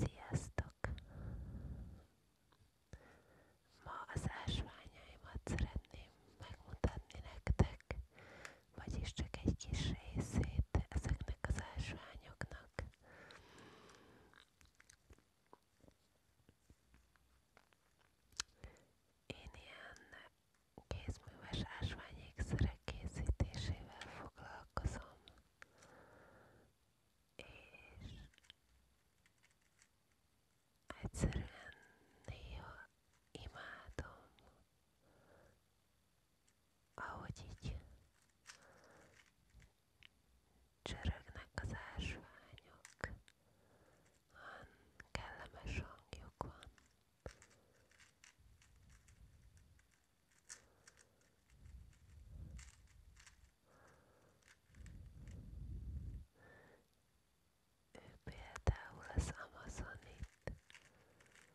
Sziasztok! Ma az ásványaimat szeretném megmutatni nektek, vagyis csak egy kis részét ezeknek az ásványoknak vannak. Én ilyen kézműves ásványékszerek készítésével foglalkozom, és egyszerűen néha imádom ahogy így csörögnek az ásványok, olyan kellemes hangjuk van. Ő például az Amazonit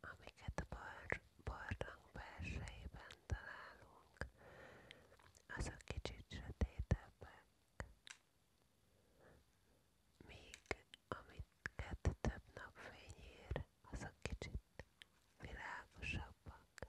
amiket a barlang belsejében találunk, azok kicsit sötétebbek. Míg amiket több napfény ér, azok kicsit világosabbak.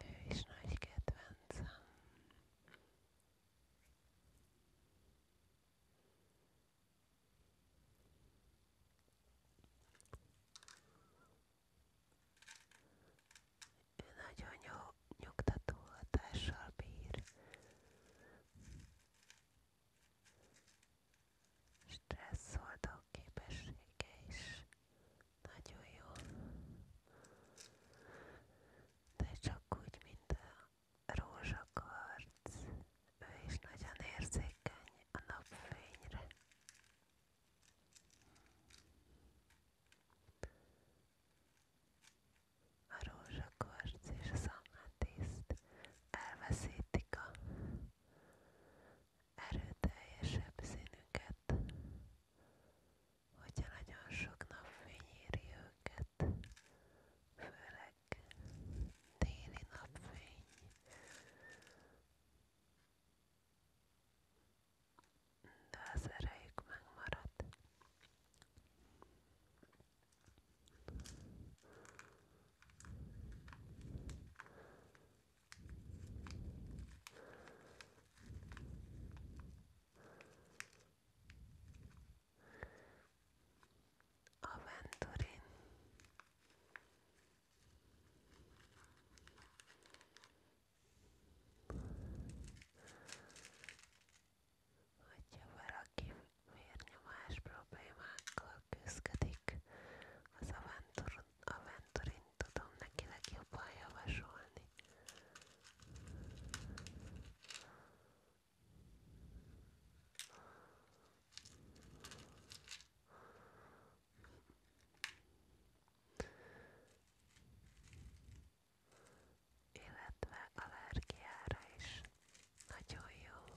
Ő is nagy kedvencem. Ő nagyon jó nyugtató hatással bír. Stresszoldó képessége is nagyon jó. De csak úgy, mint a rózsakarc. Ő is nagyon érzékeny a napfényre. A rózsakarc és az ametiszt elveszítik a erőteljesebb színüket, hogyha nagyon sok napfény éri őket, főleg téli napfény. De az erejük megmarad. A Venturin. Hogyha valaki vérnyomás problémákkal küzdik, az Aventuron a Venturint tudom neki legjobban javasolni. Illetve allergiára is nagyon jó.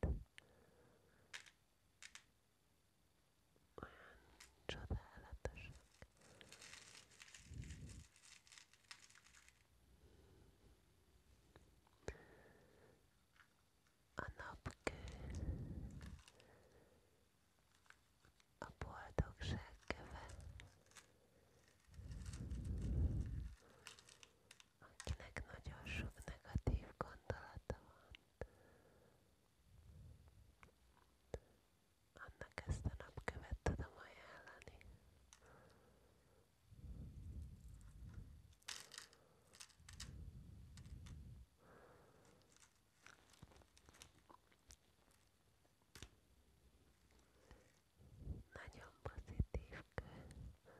Olyan csodálatosak. A napkő, a boldogság köve, akinek nagyon sok negatív gondolata van, annak ezt a napkövet tudom ajánlani. Nagyon pozitív kő.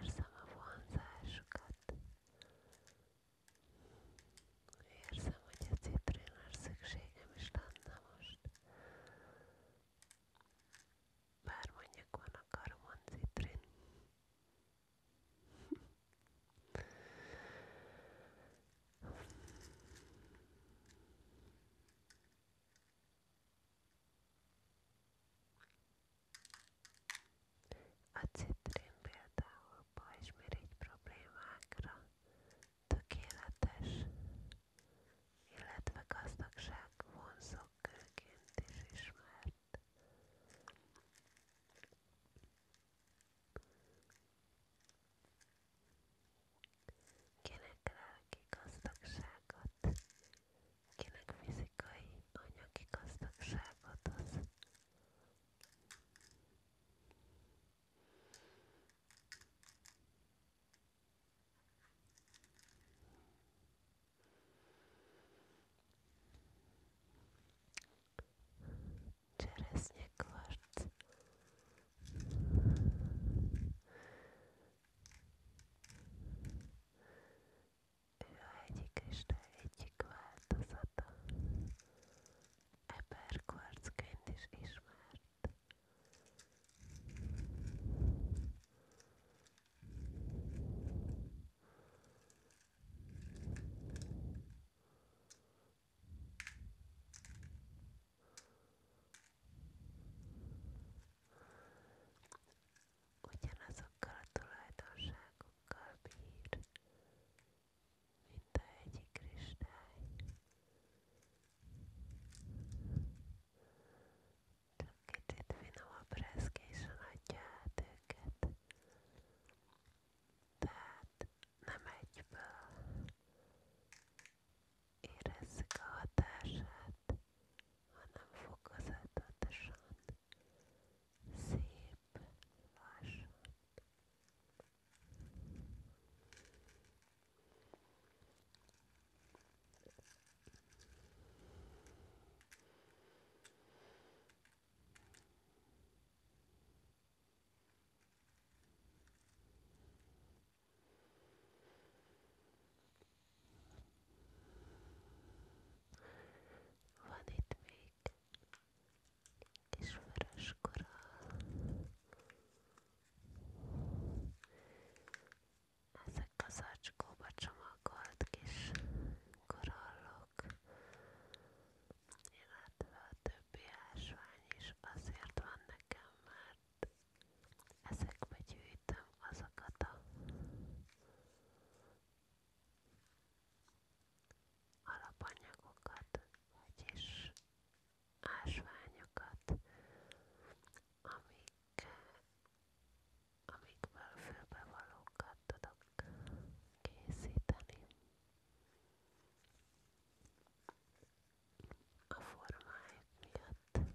Érzem a vonzásukat. Érzem, hogy a citrénre szükségem is lenne most. Bár mondjuk van a karmon citrén, a citrin például pajzsmirigy problémákra tökéletes, illetve gazdagság vonzókőként is ismert. Kinek lelki gazdagságot, kinek fizikai, anyagi gazdagságot az cseresznyekvarc ő a hegyi kristály egyik változata. Eperkvarcként is ismert. Ugyanazokkal a tulajdonságokkal bír, mint a hegyi kristály. Csak kicsit finomabb reszkésen adja át őket. Tehát nem egyből érezzük a hatását, hanem fokozatosan, szép, lassan. Van itt még kis vörös korall. Ezek az acskóba csomagolt kis korallok. Illetve a többi ásvány is azért van nekem, mert ezekbe gyűjtöm azokat a alapanyagokat, vagyis ásványokat, amik amikből fülbevalókat tudok készíteni. A formájuk miatt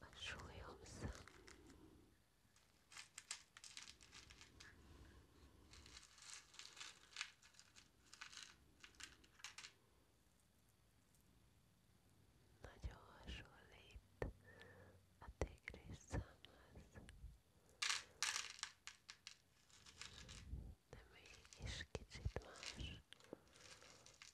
a súlyom szám. Nagyon hasonlít a tigris számhoz, de mégis kicsit más.